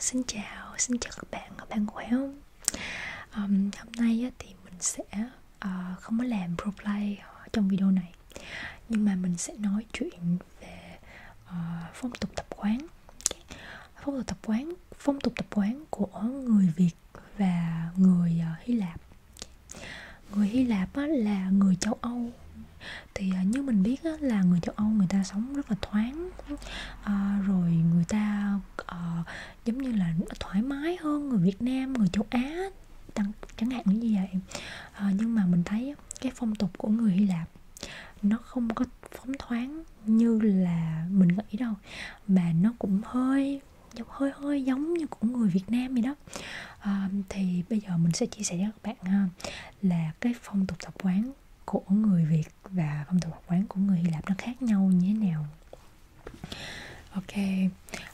Xin chào, xin chào các bạn, các bạn khỏe không? Um, hôm nay á, thì mình sẽ uh, không có làm roleplay trong video này Nhưng mà mình sẽ nói chuyện về uh, phong tục tập quán Phong tục tập quán, phong tục tập quán của người Việt và người uh, Hy Lạp Người Hy Lạp á, là người châu Âu thì uh, như mình biết á, là người châu Âu người ta sống rất là thoáng à, rồi người ta à, giống như là thoải mái hơn người Việt Nam người châu Á tăng, chẳng hạn như vậy à, nhưng mà mình thấy cái phong tục của người Hy Lạp nó không có phóng thoáng như là mình nghĩ đâu mà nó cũng hơi giống hơi hơi giống như của người Việt Nam vậy đó à, thì bây giờ mình sẽ chia sẻ cho các bạn ha, là cái phong tục tập quán của người Việt Việt và phong tục tập quán của người Hy Lạp nó khác nhau như thế nào Ok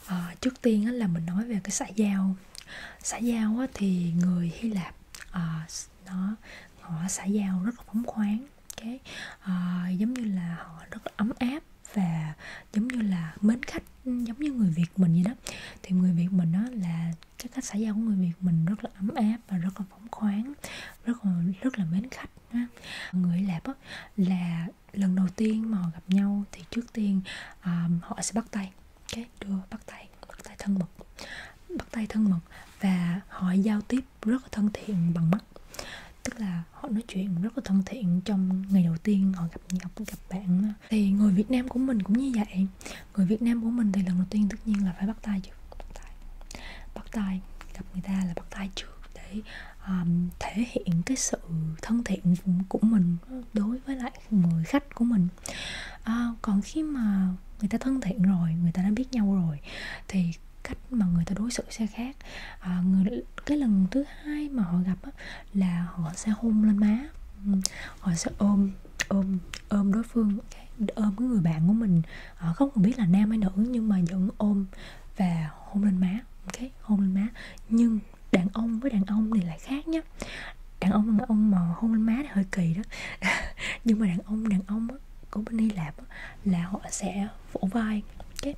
à, trước tiên là mình nói về cái xã giao xã giao á, thì người Hy Lạp à, nó họ xã giao rất là phóng khoáng cái à, ờ, giống như là họ rất là ấm áp và giống như là mến khách giống như người Việt mình vậy đó thì người Việt mình đó là cái cách xã giao của người Việt mình rất là ấm áp và rất là phóng khoáng rất là rất là mến khách ha. người Hy Lạp á, là lần đầu tiên mà họ gặp nhau thì trước tiên um, họ sẽ bắt tay cái okay, đưa bắt tay bắt tay thân mật bắt tay thân mật và họ giao tiếp rất là thân thiện bằng mắt tức là họ nói chuyện rất là thân thiện trong ngày đầu tiên họ gặp gặp gặp bạn thì người Việt Nam của mình cũng như vậy người Việt Nam của mình thì lần đầu tiên tất nhiên là phải bắt tay chứ bắt tay bắt tay gặp người ta là bắt tay trước để um, thể hiện cái sự thân thiện của mình đối với lại người khách của mình à, còn khi mà người ta thân thiện rồi người ta đã biết nhau rồi thì cách mà người ta đối xử sẽ khác à, người cái lần thứ hai mà họ gặp á, là họ sẽ hôn lên má họ sẽ ôm ôm ôm đối phương ôm cái người bạn của mình họ ờ, không còn biết là nam hay nữ nhưng mà vẫn ôm và hôn lên má ok hôn lên má nhưng đàn ông với đàn ông thì lại khác nhá đàn ông đàn ông mà hôn lên má thì hơi kỳ đó nhưng mà đàn ông đàn ông á, của bên Hy Lạp á, là họ sẽ vỗ vai okay.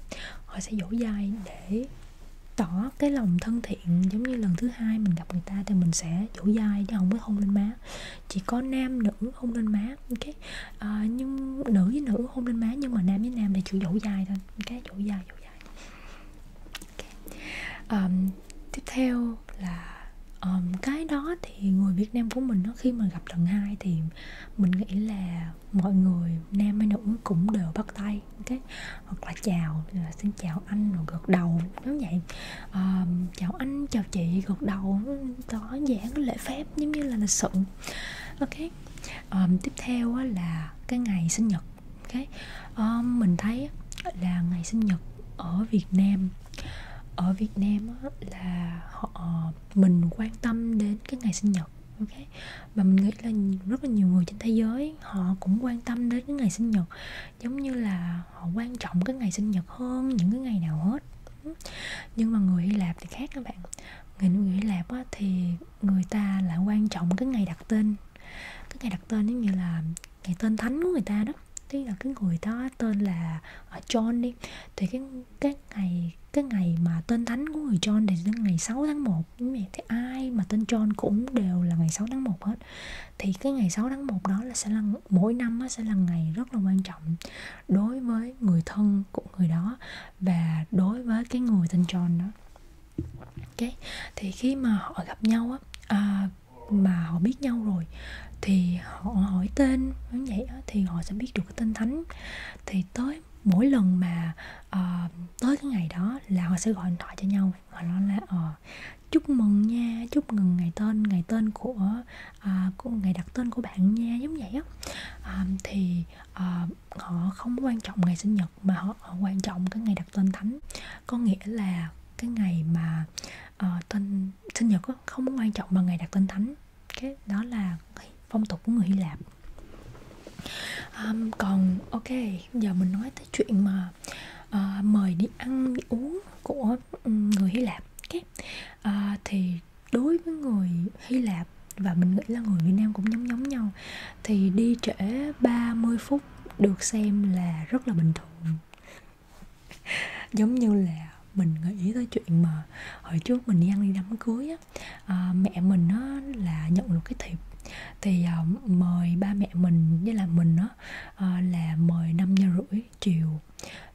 họ sẽ vỗ vai để tỏ cái lòng thân thiện giống như lần thứ hai mình gặp người ta thì mình sẽ vỗ vai chứ không có hôn lên má chỉ có nam nữ hôn lên má ok à, nhưng nữ với nữ hôn lên má nhưng mà nam với nam là chủ dỗ dài thôi ok dỗ dài dỗ dài okay. um, tiếp theo là um, cái đó thì người Việt Nam của mình nó khi mà gặp lần hai thì mình nghĩ là mọi người nam hay nữ cũng đều bắt tay okay? hoặc là chào là xin chào anh rồi gật đầu giống vậy um, chào anh chào chị gật đầu có giảng lễ phép giống như là lịch sự ok um, tiếp theo là cái ngày sinh nhật ok um, mình thấy là ngày sinh nhật ở việt nam ở việt nam là họ mình quan tâm đến cái ngày sinh nhật ok và mình nghĩ là rất là nhiều người trên thế giới họ cũng quan tâm đến cái ngày sinh nhật giống như là họ quan trọng cái ngày sinh nhật hơn những cái ngày nào hết nhưng mà người hy lạp thì khác các bạn người người hy lạp á, thì người ta lại quan trọng cái ngày đặt tên cái ngày đặt tên giống như là ngày tên thánh của người ta đó tức là cái người đó tên là à, John đi thì cái cái ngày cái ngày mà tên thánh của người John thì đến ngày 6 tháng 1 như vậy thì ai mà tên John cũng đều là ngày 6 tháng 1 hết thì cái ngày 6 tháng 1 đó là sẽ là mỗi năm sẽ là ngày rất là quan trọng đối với người thân của người đó và đối với cái người tên John đó ok thì khi mà họ gặp nhau á à, mà họ biết nhau rồi thì họ hỏi tên như vậy á, thì họ sẽ biết được cái tên thánh thì tới mỗi lần mà uh, tới cái ngày đó là họ sẽ gọi điện thoại cho nhau họ nói là uh, chúc mừng nha chúc mừng ngày tên ngày tên của à, của ngày đặt tên của bạn nha giống vậy á à, thì à, họ không quan trọng ngày sinh nhật mà họ, họ quan trọng cái ngày đặt tên thánh có nghĩa là cái ngày mà uh, tên sinh nhật đó, không quan trọng bằng ngày đặt tên thánh cái đó là phong tục của người Hy Lạp um, còn ok giờ mình nói tới chuyện mà uh, mời đi ăn đi uống của ừ, người Hy Lạp okay. à, ờ, thì đối với người Hy Lạp và mình nghĩ là người Việt Nam cũng giống giống nhau thì đi trễ 30 phút được xem là rất là bình thường giống như là mình nghĩ tới chuyện mà hồi trước mình đi ăn đi đám cưới á à, mẹ mình á là nhận được cái thiệp thì à, mời ba mẹ mình với là mình á à, là mời năm giờ rưỡi chiều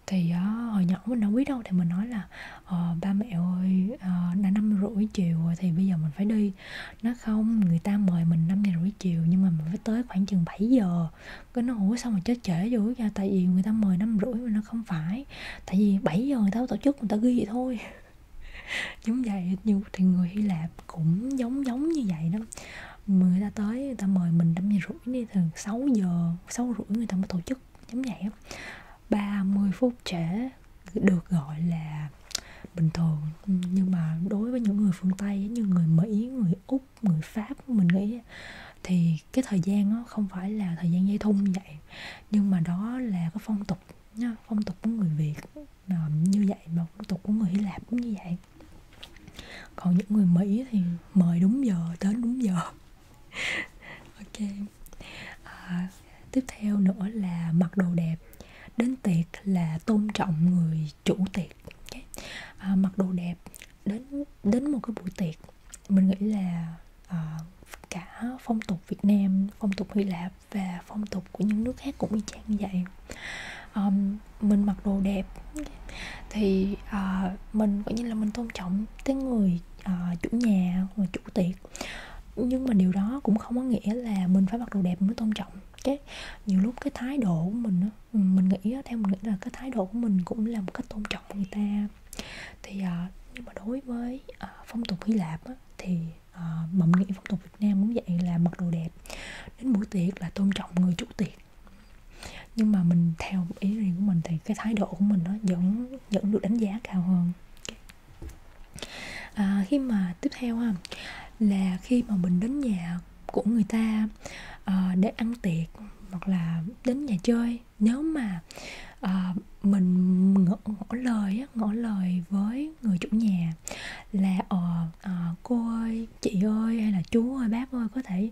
thì uh, hồi nhỏ mình đâu biết đâu thì mình nói là ờ, ba mẹ ơi uh, đã năm rưỡi chiều rồi thì bây giờ mình phải đi nó không người ta mời mình năm giờ rưỡi chiều nhưng mà mình phải tới khoảng chừng 7 giờ cái nó ủa sao mà chết trễ dữ vậy tại vì người ta mời năm rưỡi mà nó không phải tại vì 7 giờ người ta tổ chức người ta ghi vậy thôi giống vậy như thì người Hy Lạp cũng giống giống như vậy đó người ta tới người ta mời mình năm giờ rưỡi đi thường 6 giờ sáu rưỡi người ta mới tổ chức giống vậy ba mươi phút trễ được gọi là bình thường nhưng mà đối với những người phương tây như người mỹ người úc người pháp mình nghĩ thì cái thời gian đó không phải là thời gian dây thun vậy nhưng mà đó là cái phong tục phong tục của người việt như vậy mà phong tục của người hy lạp cũng như vậy còn những người mỹ thì mời đúng giờ đến đúng giờ ok à, tiếp theo nữa là mặc đồ đẹp đến tiệc là tôn trọng người chủ tiệc okay. à, mặc đồ đẹp đến đến một cái buổi tiệc mình nghĩ là à, cả phong tục Việt Nam, phong tục Hy Lạp và phong tục của những nước khác cũng y chang như vậy. Um, mình mặc đồ đẹp thì uh, mình cũng như là mình tôn trọng cái người uh, chủ nhà người chủ tiệc nhưng mà điều đó cũng không có nghĩa là mình phải mặc đồ đẹp mình mới tôn trọng cái nhiều lúc cái thái độ của mình ừ, mình nghĩ theo mình nghĩ là cái thái độ của mình cũng là một cách tôn trọng người ta thì uh, nhưng mà đối với uh, phong tục hy lạp á, thì uh, mà mình nghĩ phong tục việt nam cũng vậy là mặc đồ đẹp đến buổi tiệc là tôn trọng người chủ tiệc nhưng mà mình theo ý riêng của mình thì cái thái độ của mình nó vẫn vẫn được đánh giá cao hơn à, khi mà tiếp theo ha là khi mà mình đến nhà của người ta à, để ăn tiệc hoặc là đến nhà chơi nếu mà à, mình ngỏ, ngỏ lời ngỏ lời với người chủ nhà là ờ à, cô ơi chị ơi hay là chú ơi bác ơi có thể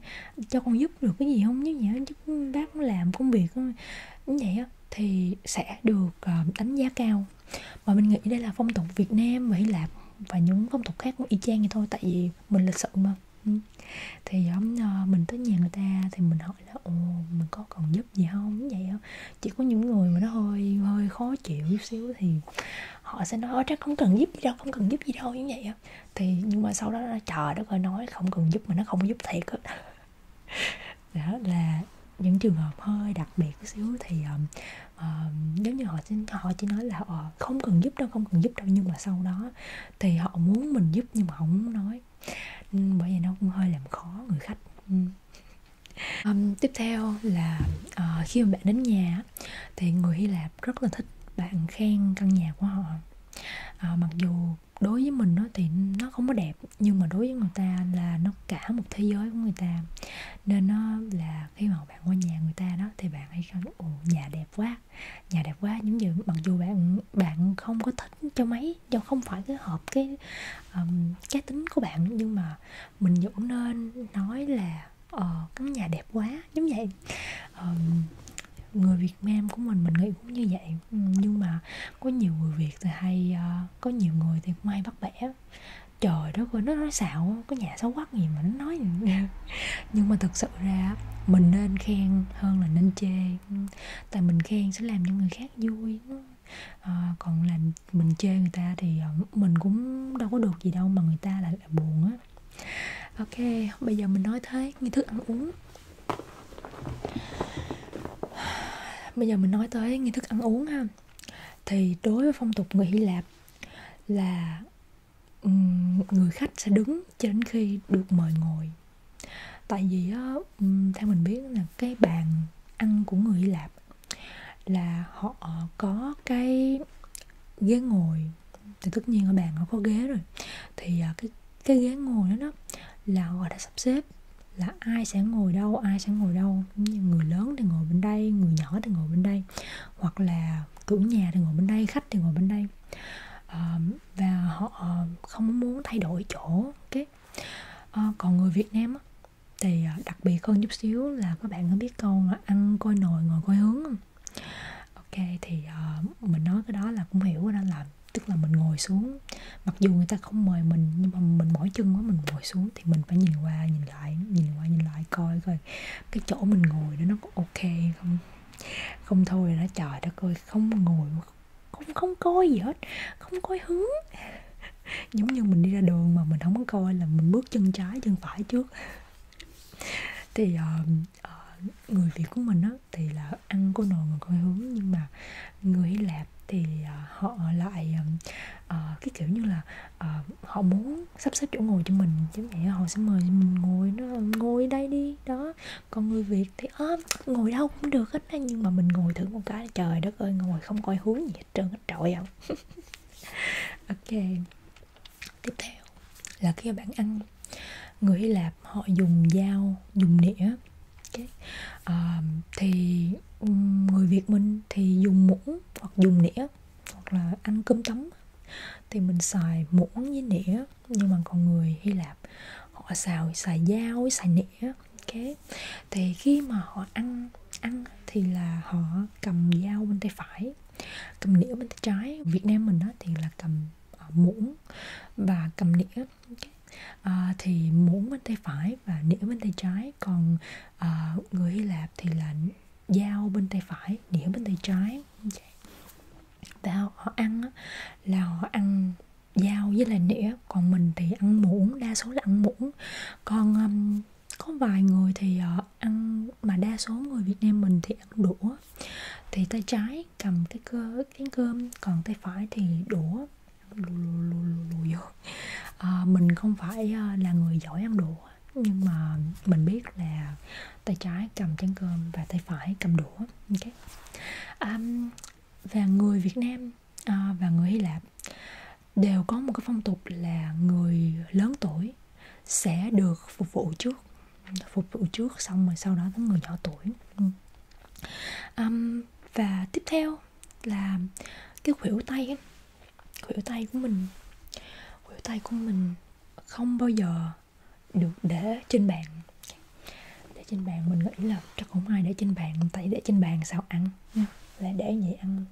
cho con giúp được cái gì không giúp gì hết giúp bác con làm công việc không như vậy á thì sẽ được ờ, đánh giá cao mà mình nghĩ đây là phong tục Việt Nam và Hy Lạp và những phong tục khác cũng y chang vậy thôi tại vì mình lịch sự mà ừ. thì uh, mình tới nhà người ta thì mình hỏi là ồ mình có cần giúp gì không như vậy không chỉ có những người mà nó hơi hơi khó chịu chút xíu thì họ sẽ nói chắc không cần giúp gì đâu không cần giúp gì đâu như vậy thì nhưng mà sau đó nó trời đất ơi nói không cần giúp mà nó không giúp thiệt á đó là những trường hợp hơi đặc biệt một xíu thì um, uh, giống như họ chỉ, họ chỉ nói là uh, không cần giúp đâu không cần giúp đâu nhưng mà sau đó thì họ muốn mình giúp nhưng mà họ muốn nói bởi vậy nó cũng hơi làm khó người khách uhm. um, tiếp theo là uh, khi mà bạn đến nhà thì người Hy Lạp rất là thích bạn khen căn nhà của họ à, mặc dù đối với mình nó thì nó không có đẹp nhưng mà đối với người ta là nó cả một thế giới của người ta nên nó là khi mà bạn qua nhà người ta đó thì bạn hay kêu ồ nhà đẹp quá nhà đẹp quá những gì mặc dù bạn bạn không có thích cho mấy do không phải cái hợp cái um, cá tính của bạn nhưng mà mình vẫn nên nói là ờ uh, cái nhà đẹp quá giống vậy um, người Việt Nam của mình mình nghĩ cũng như vậy ừ, nhưng mà có nhiều người Việt thì hay uh, có nhiều người thì cũng hay bắt bẻ trời đất ơi nó nói xạo có nhà xấu quắc gì mà nó nói nhưng mà thực sự ra mình nên khen hơn là nên chê ừ, tại mình khen sẽ làm cho người khác vui à, còn làm mình chê người ta thì ờ, mình cũng đâu có được gì đâu mà người ta lại là buồn á ăn ok bây giờ mình nói thế nghi thức ăn uống bây giờ mình nói tới nghi thức ăn uống ha thì đối với phong tục người hy lạp là người khách sẽ đứng cho đến khi được mời ngồi tại vì á, theo mình biết là cái bàn ăn của người hy lạp là họ có cái ghế ngồi thì tất nhiên ở bàn nó có ghế rồi thì à, cái cái ghế ngồi đó, đó là họ đã sắp xếp là ai sẽ ngồi đâu ai sẽ ngồi đâu như người lớn thì ngồi bên đây người nhỏ thì ngồi bên đây hoặc là chủ nhà thì ngồi bên đây khách thì ngồi bên đây à, và họ không muốn thay đổi chỗ cái okay. à, còn người Việt Nam á, thì à, đặc biệt hơn chút xíu là các bạn có biết câu là ăn coi nồi ngồi coi hướng không ok thì uh, mình nói cái đó là cũng hiểu đó là tức là mình ngồi xuống mặc dù người ta không mời mình nhưng mà mình mỏi chân quá mình ngồi xuống thì mình phải nhìn qua nhìn lại nhìn qua nhìn lại coi coi cái chỗ mình ngồi đó nó có ok không không thôi đó trời đất ơi không ngồi không không coi gì hết không coi hướng giống như mình đi ra đường mà mình không có coi là mình bước chân trái chân phải trước thì uh, uh, người Việt của mình á thì là ăn của nồi mà coi hướng nhưng mà người Hy Lạp thì uh, họ lại uh, cái kiểu như là uh, họ muốn sắp xếp chỗ ngồi cho mình chứ mẹ họ sẽ mời mình ngồi nó ngồi đây đi đó còn người Việt thì ôm à, ngồi đâu cũng được hết á nhưng mà mình ngồi thử một cái trời đất ơi ngồi không coi hướng gì hết trơn hết trội không ok tiếp theo là khi bạn ăn người hy lạp họ dùng dao dùng đĩa okay. à, thì người việt mình thì dùng muỗng hoặc dùng đĩa hoặc là ăn cơm tấm thì mình xài muỗng với đĩa nhưng mà còn người hy lạp họ xào xài dao xài nĩa okay. thì khi mà họ ăn ăn thì là họ cầm dao bên tay phải cầm đĩa bên tay trái việt nam mình đó thì là cầm muỗng và cầm đĩa à, thì muỗng bên tay phải và đĩa bên tay trái còn à, người Hy Lạp thì là dao bên tay phải đĩa bên tay trái và họ ăn là họ ăn dao với lại nĩa còn mình thì ăn muỗng đa số là ăn muỗng còn um, có vài người thì uh, ăn mà đa số người Việt Nam mình thì ăn đũa thì tay trái trái cầm cái cơ chén cơm còn tay phải thì đũa lù lù lù lù vô à, mình không phải à, là người giỏi ăn đũa nhưng mà mình biết là tay trái cầm chén cơm và tay phải cầm đũa ok à, và người Việt Nam à, và người Hy Lạp đều có một cái phong tục là người lớn tuổi sẽ được phục vụ trước phục vụ trước xong rồi sau đó tới người nhỏ tuổi ừ. um, và tiếp theo là cái khuỷu tay ấy. khuỷu tay của mình khuỷu tay của mình không bao giờ được để trên bàn để trên bàn mình nghĩ là chắc không ai để trên bàn tại để trên bàn sao ăn ừ, lại để vậy ăn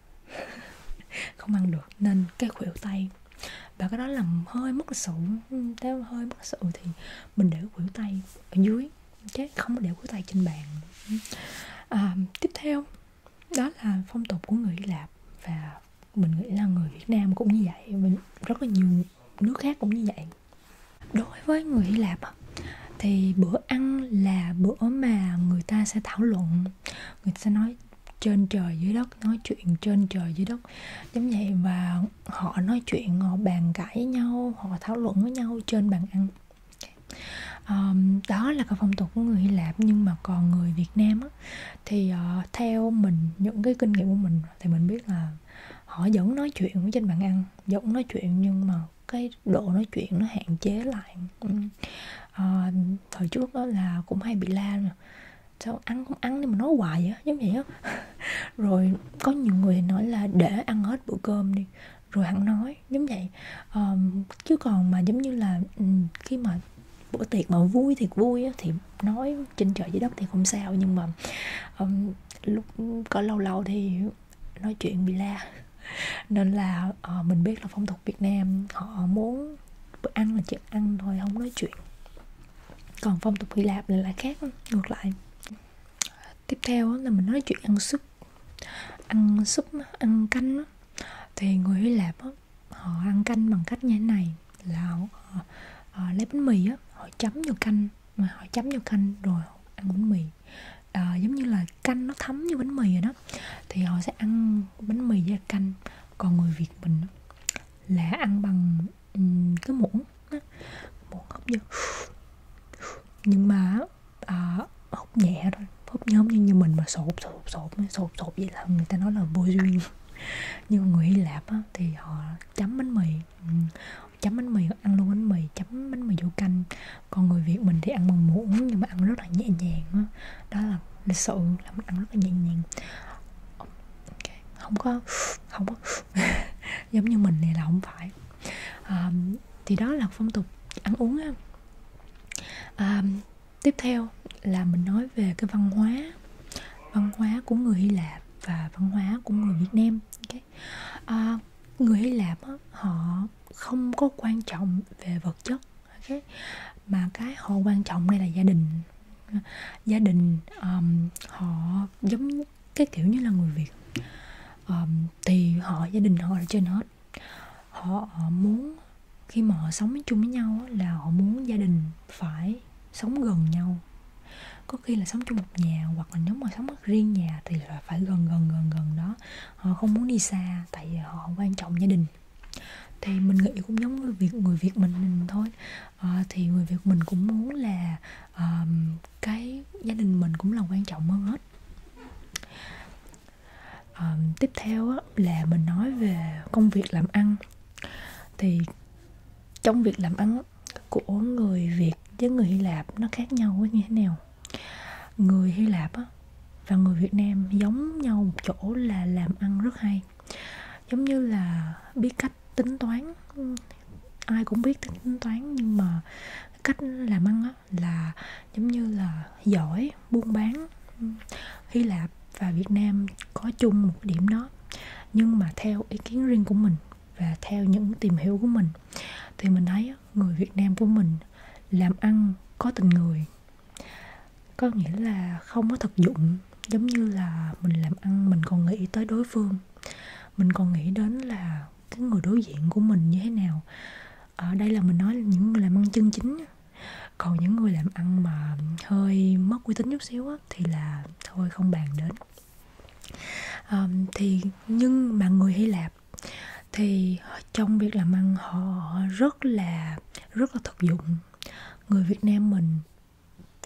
không ăn được nên cái khuỷu tay và cái đó làm hơi mất lịch sự nếu hơi mất lịch sự thì mình để khuỷu tay ở dưới chứ không có để khuỷu tay trên bàn à, tiếp theo đó là phong tục của người Hy Lạp và mình nghĩ là người Việt Nam cũng như vậy mình rất là nhiều nước khác cũng như vậy đối với người Hy Lạp thì bữa ăn là bữa mà người ta sẽ thảo luận người ta sẽ nói trên trời dưới đất nói chuyện trên trời dưới đất giống vậy và họ nói chuyện họ bàn cãi nhau họ thảo luận với nhau trên bàn ăn um, đó là cái phong tục của người Hy Lạp nhưng mà còn người Việt Nam á, thì uh, theo mình những cái kinh nghiệm của mình thì mình biết là họ vẫn nói chuyện ở trên bàn ăn vẫn nói chuyện nhưng mà cái độ nói chuyện nó hạn chế lại uh, thời trước đó là cũng hay bị la mà sao ăn không ăn nhưng mà nói hoài á giống vậy á rồi có nhiều người nói là để ăn hết bữa cơm đi rồi hẳn nói giống vậy um, chứ còn mà giống như là um, khi mà bữa tiệc mà vui thì vui á, thì nói trên trời dưới đất thì không sao nhưng mà um, lúc có lâu lâu thì nói chuyện bị la nên là uh, mình biết là phong tục Việt Nam họ muốn ăn là chỉ ăn thôi không nói chuyện còn phong tục hy lạp là lại khác ngược lại tiếp theo là mình nói chuyện ăn súp ăn súp ăn canh thì người hy lạp họ ăn canh bằng cách như thế này là họ, họ, họ lấy bánh mì á họ chấm vào canh mà họ chấm vào canh rồi họ ăn bánh mì à, giống như là canh nó thấm như bánh mì rồi đó thì họ sẽ ăn bánh mì với canh còn người việt mình là ăn bằng um, cái muỗng muỗng hút như nhưng mà à, hút nhẹ thôi hút nhóm như, như mình mà sột sột sột sột sột vậy là người ta nói là vô duyên nhưng người Hy Lạp á, thì họ chấm bánh mì chấm bánh mì ăn luôn bánh mì chấm bánh mì vô canh còn người Việt mình thì ăn bằng muỗng nhưng mà ăn rất là nhẹ nhàng đó, đó là lịch sự là mình ăn rất là nhẹ nhàng okay. không có không có giống như mình này là không phải à, thì đó là phong tục ăn uống á à, tiếp theo là mình nói về cái văn hóa văn hóa của người hy lạp và văn hóa của người việt nam okay. à, người hy lạp á, họ không có quan trọng về vật chất okay. mà cái họ quan trọng đây là gia đình gia đình um, họ giống cái kiểu như là người việt um, thì họ gia đình họ là trên hết họ, họ muốn khi mà họ sống chung với nhau là họ muốn gia đình phải sống gần nhau có khi là sống chung một nhà hoặc là nếu mà sống riêng nhà thì là phải gần gần gần gần đó họ không muốn đi xa tại vì họ quan trọng gia đình thì mình nghĩ cũng giống người việt người việt mình, mình thôi à, thì người việt mình cũng muốn là à, cái gia đình mình cũng là quan trọng hơn hết à, tiếp theo á, là mình nói về công việc làm ăn thì trong việc làm ăn của người việt với người hy lạp nó khác nhau như thế nào người hy lạp á, và người việt nam giống nhau một chỗ là làm ăn rất hay giống như là biết cách tính toán ai cũng biết tính toán nhưng mà cách làm ăn á, là giống như là giỏi buôn bán hy lạp và việt nam có chung một điểm đó nhưng mà theo ý kiến riêng của mình và theo những tìm hiểu của mình thì mình thấy người việt nam của mình làm ăn có tình người có nghĩa là không có thực dụng giống như là mình làm ăn mình còn nghĩ tới đối phương mình còn nghĩ đến là cái người đối diện của mình như thế nào ở đây là mình nói là những người làm ăn chân chính còn những người làm ăn mà hơi mất uy tín chút xíu á, thì là thôi không bàn đến à, thì nhưng mà người hy lạp thì trong việc làm ăn họ rất là rất là thực dụng người việt nam mình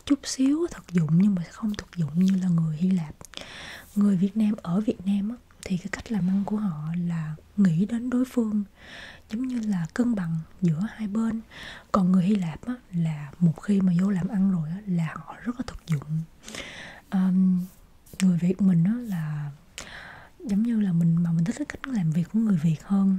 chút xíu thực dụng nhưng mà không thực dụng như là người Hy Lạp người Việt Nam ở Việt Nam á, thì cái cách làm ăn của họ là nghĩ đến đối phương giống như là cân bằng giữa hai bên còn người Hy Lạp á, là một khi mà vô làm ăn rồi á, là họ rất là thực dụng um, người Việt mình á, là giống như là mình mà mình thích cái cách làm việc của người Việt hơn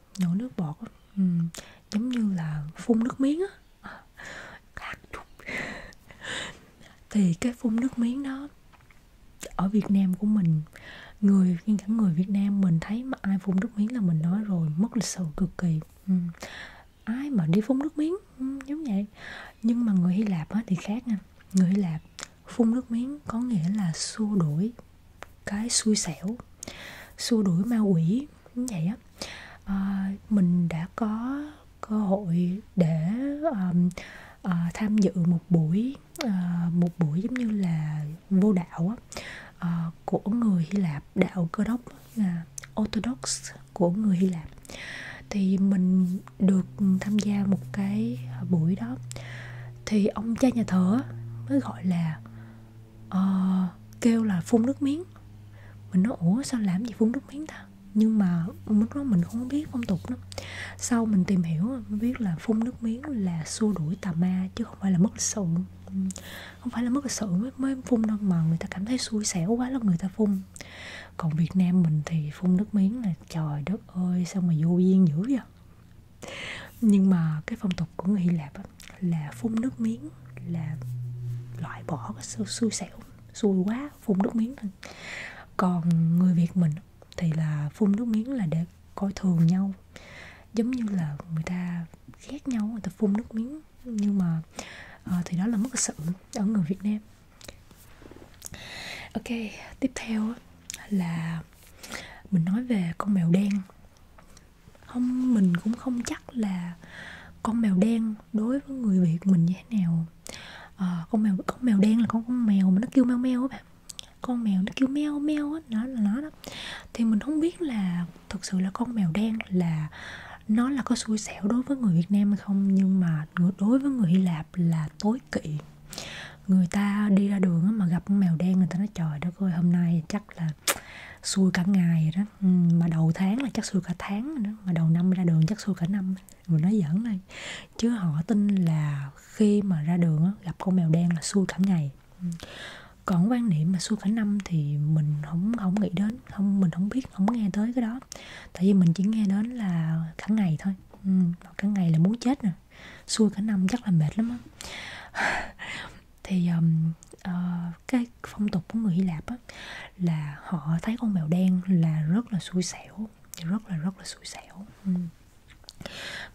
nhổ nước bọt ừ, giống như là phun nước miếng á khác chút thì cái phun nước miếng đó ở Việt Nam của mình người nhưng cả người Việt Nam mình thấy mà ai phun nước miếng là mình nói rồi mất lịch sự cực kỳ ừ. ai mà đi phun nước miếng ừ, giống vậy nhưng mà người Hy Lạp á thì khác nha người Hy Lạp phun nước miếng có nghĩa là xua đuổi cái xui xẻo xua đuổi ma quỷ như vậy á à, mình đã có cơ hội để um, uh, tham dự một buổi uh, một buổi giống như là vô đạo uh, của người Hy Lạp đạo Cơ đốc là uh, Orthodox của người Hy Lạp thì mình được tham gia một cái buổi đó thì ông cha nhà thờ mới gọi là uh, kêu là phun nước miếng mình nói ủa sao làm gì phun nước miếng ta nhưng mà lúc đó mình không biết phong tục lắm sau mình tìm hiểu mình biết là phun nước miếng là xua đuổi tà ma chứ không phải là mất lịch sự không phải là mất lịch sự mới, mới phun đâu mà người ta cảm thấy xui xẻo quá là người ta phun còn việt nam mình thì phun nước miếng là trời đất ơi sao mà vô duyên dữ vậy nhưng mà cái phong tục của người Hy Lạp á, là phun nước miếng là loại bỏ cái xui, xui xẻo xui quá phun nước miếng thôi còn người Việt mình thì là phun nước miếng là để coi thường nhau giống như là người ta ghét nhau người ta phun nước miếng nhưng mà à, thì đó là mất sự ở người Việt Nam ok tiếp theo là mình nói về con mèo đen không mình cũng không chắc là con mèo đen đối với người việt mình như thế nào à, con mèo con mèo đen là con con mèo mà nó kêu meo meo á bạn con mèo nó kêu meo meo á nó là nó đó thì mình không biết là thực sự là con mèo đen là nó là có xui xẻo đối với người Việt Nam hay không nhưng mà đối với người Hy Lạp là tối kỵ người ta đi ra đường mà gặp con mèo đen người ta nói trời đất ơi hôm nay chắc là xui cả ngày rồi đó ừ, mà đầu tháng là chắc xui cả tháng rồi đó mà đầu năm ra đường chắc xui cả năm mình nói giỡn này chứ họ tin là khi mà ra đường gặp con mèo đen là xui cả ngày ừ. còn quan niệm mà xui cả năm thì mình không không nghĩ đến không mình không biết không nghe tới cái đó tại vì mình chỉ nghe đến là cả ngày thôi ừ, cả ngày là muốn chết nè xui cả năm chắc là mệt lắm á thì um, uh, cái phong tục của người Hy Lạp á, là họ thấy con mèo đen là rất là xui xẻo rất là rất là xui xẻo ừ.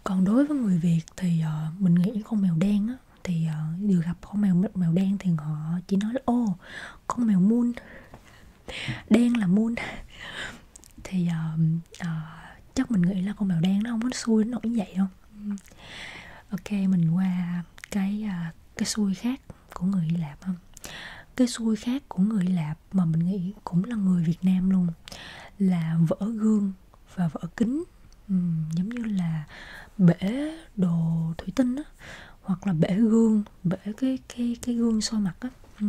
còn đối với người Việt thì uh, mình nghĩ con mèo đen á, thì uh, ờ, vừa gặp con mèo mèo đen thì họ chỉ nói là ô con mèo moon đen là moon thì uh, uh, chắc mình nghĩ là con mèo đen nó không có xui nó nổi vậy đâu Ừ. ok mình qua cái à, cái xuôi khác của người hy lạp không cái xuôi khác của người hy lạp mà mình nghĩ cũng là người việt nam luôn là vỡ gương và vỡ kính ừ, giống như là bể đồ thủy tinh á hoặc là bể gương bể cái cái cái gương soi mặt á ừ,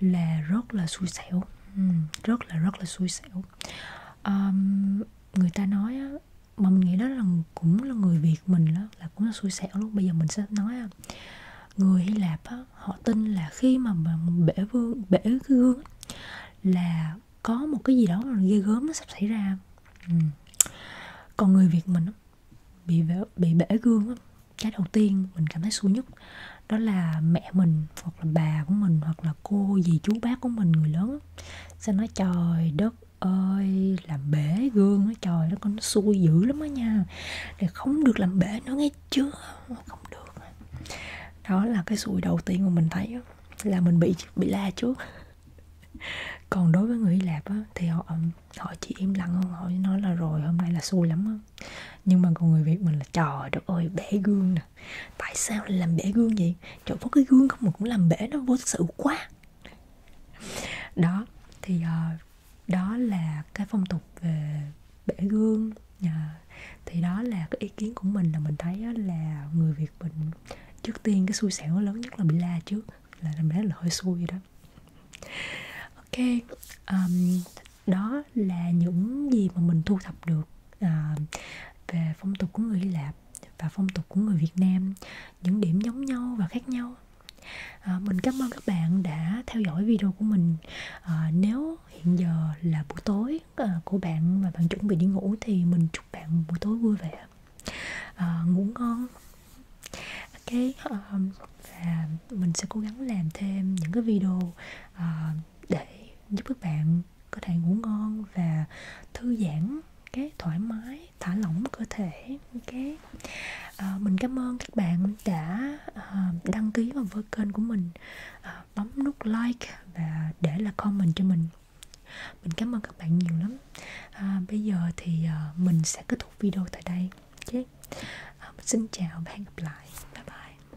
là rất là xui xẻo ừ, rất là rất là xui xẻo um, người ta nói á, mà mình nghĩ đó là cũng là người việt mình đó là cũng là xui xẻo luôn bây giờ mình sẽ nói á, người hy lạp á, họ tin là khi mà bể vương bể cái gương là có một cái gì đó ghê gớm nó sắp xảy ra ừ. còn người việt mình bị bể, bị bể gương cái đầu tiên mình cảm thấy xui nhất đó là mẹ mình hoặc là bà của mình hoặc là là cô dì chú bác của mình người lớn sẽ nói trời đất ơi làm bể gương á trời nó con nó xui dữ lắm á nha để không được làm bể nữa nghe chưa không được đó là cái xui đầu tiên mà mình thấy là mình bị bị la trước còn đối với người Hy Lạp á, thì họ họ chỉ im lặng không họ nói là rồi hôm nay là xui lắm á. nhưng mà còn người Việt mình là trời đất ơi bể gương nè nè tại sao lại làm bể gương vậy trời có cái gương không mà cũng làm bể nó vô sự quá đó thì uh, đó là cái phong tục về bể gương uh, thì đó là cái ý kiến của mình là mình thấy là người việt mình trước tiên cái xui xẻo lớn nhất là bị la trước là mình thấy là hơi xui vậy đó ok um, đó là những gì mà mình thu thập được à, về phong tục của người Hy Lạp và phong tục của người Việt Nam những điểm giống nhau và khác nhau à, mình cảm ơn các bạn đã theo dõi video của mình à, nếu hiện giờ là buổi tối à, của bạn và bạn chuẩn bị đi ngủ thì mình chúc bạn buổi tối vui vẻ à, ngủ ngon ok à, và mình sẽ cố gắng làm thêm những cái video à, để giúp các bạn có thể ngủ ngon và thư giãn cái thoải mái thả lỏng cơ thể cái à, mình cảm ơn các bạn đã à, đăng ký vào với kênh của mình à, bấm nút like và để là comment cho mình mình cảm ơn các bạn nhiều lắm à, bây giờ thì à, mình sẽ kết thúc video tại đây okay. à, mình xin chào và hẹn gặp lại bye bye